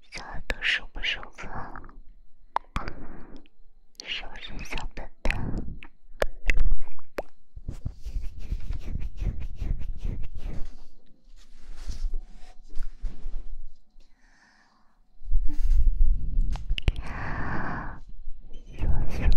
小耳朵舒不舒服？是不是小笨蛋？嗯，是不是的？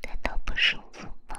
那个舒服吗？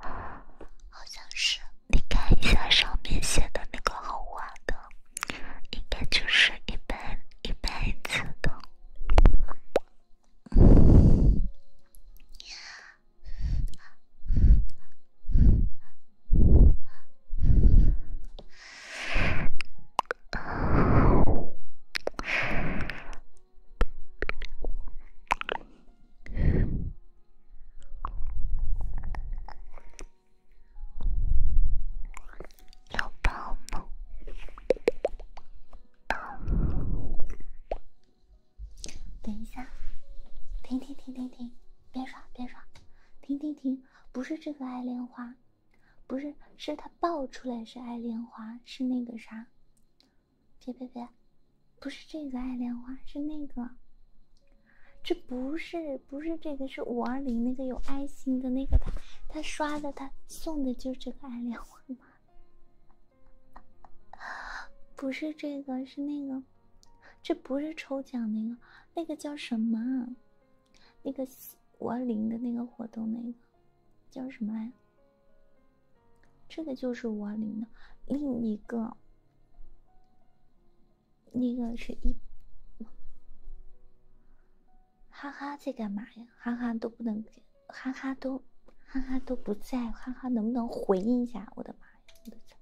好像是，你看一下上面写的那个红花的，应该就是一辈一辈子的。要抱吗？等一下，停停停停停，别刷别刷，停停停，不是这个爱莲花，不是，是他爆出来是爱莲花，是那个啥，别别别。不是这个爱莲花，是那个，这不是不是这个，是五二零那个有爱心的那个他他刷的他送的就是这个爱莲花吗？不是这个，是那个，这不是抽奖那个那个叫什么？那个五二零的那个活动那个叫什么来？这个就是五二零的另一个。那个是一，哈哈在干嘛呀？哈哈都不能给，哈哈都，哈哈都不在，哈哈能不能回应一下？我的妈呀，我的天，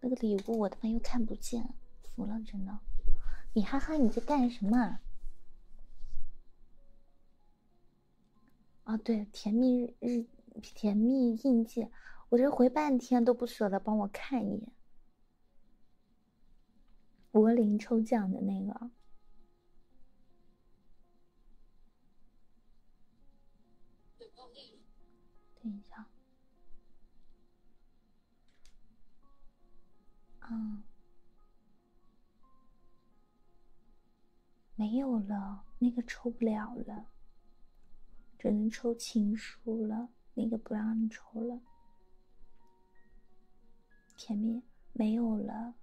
那个礼物我他妈又看不见，服了，真的。你哈哈你在干什么？啊，对，甜蜜日日。甜蜜印记，我这回半天都不舍得帮我看一眼。柏林抽奖的那个，等一下，嗯，没有了，那个抽不了了。只能抽情书了，那个不让你抽了。甜蜜没有了，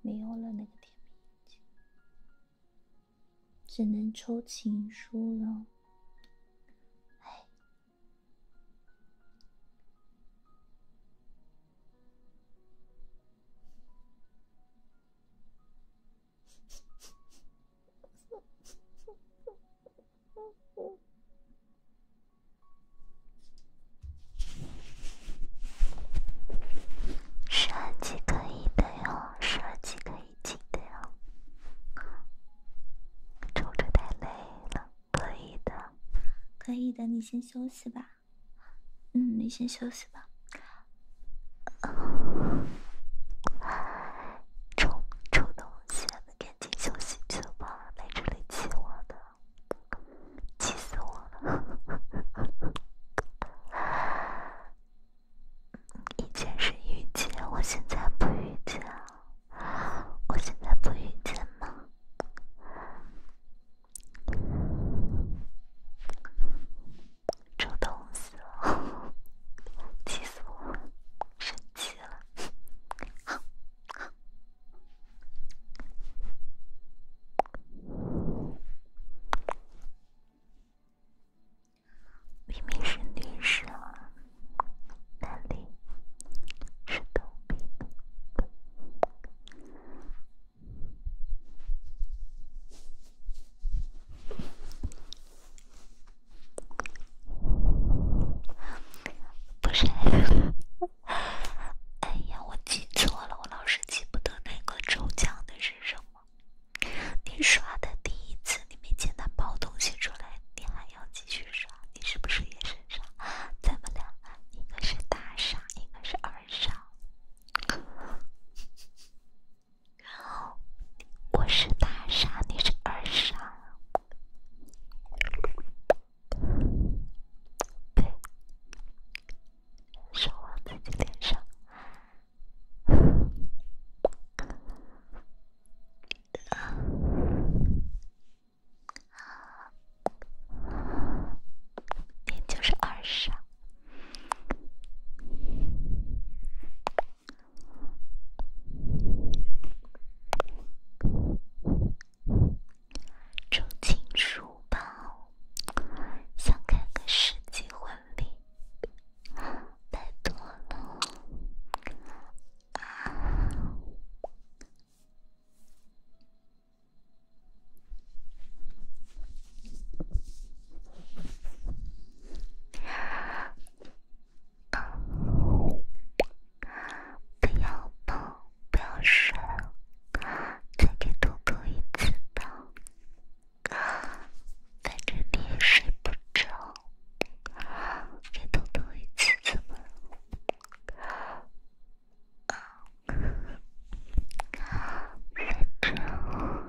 没有了那个甜蜜，只能抽情书了。哎。十二级可以的哟，十二级可以进的哟。抽着太累了，可以的，可以的，你先休息吧。嗯，你先休息吧。臭臭东西，赶紧休息去吧！来这里气我的，气死我了！以前是遇见，我现在不遇见，我现在不遇见吗？主动死了，气死我了，生气了，明明是女生，哪里是同性？不是，哎呀，我记错了，我老是记不得那个抽奖的是什么。你刷的第一次，你没见他包东西出来，你还要继续刷，你是不是也是傻？咱们俩，一个是大傻，一个是二傻。然后我是大傻，你是二傻。对，手往自己脸上，你就是二傻。竹青书包，想开个世纪婚礼，拜托了。不要抱，不要睡，再给狗狗一次抱。哥，反正你也睡不着，给狗狗一次吧。啊，别吵。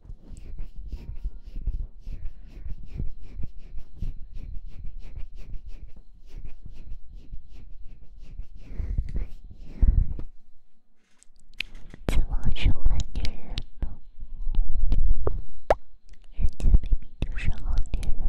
怎么就恨女人了？人家明明就是好女人呢。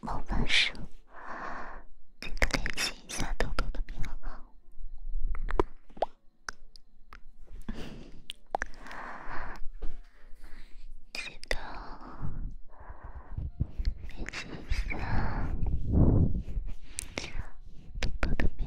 某男生，记得联系一下豆豆的编记得联系一下豆豆的编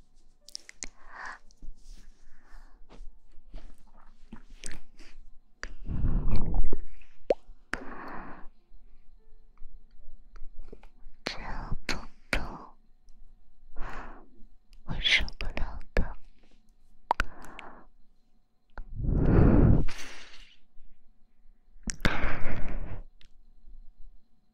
这样痛痛，我受不了的。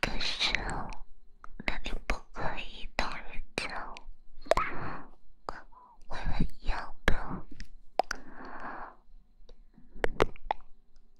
可是，那里不可以动人家，会很糟糕。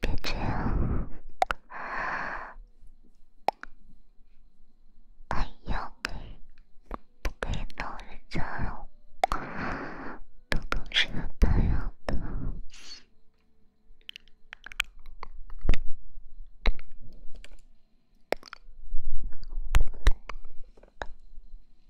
别这样！哎呀，给不给老人家呀？等等，是太阳的。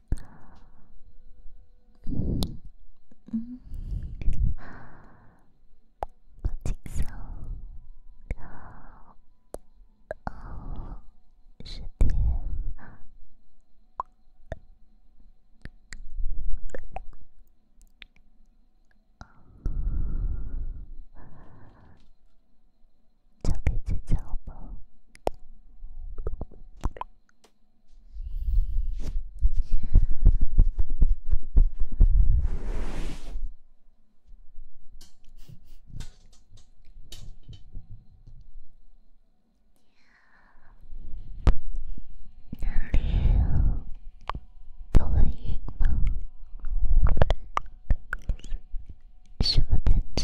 八七四六二十点，交给警察吧。哪里头晕吗？什么感觉？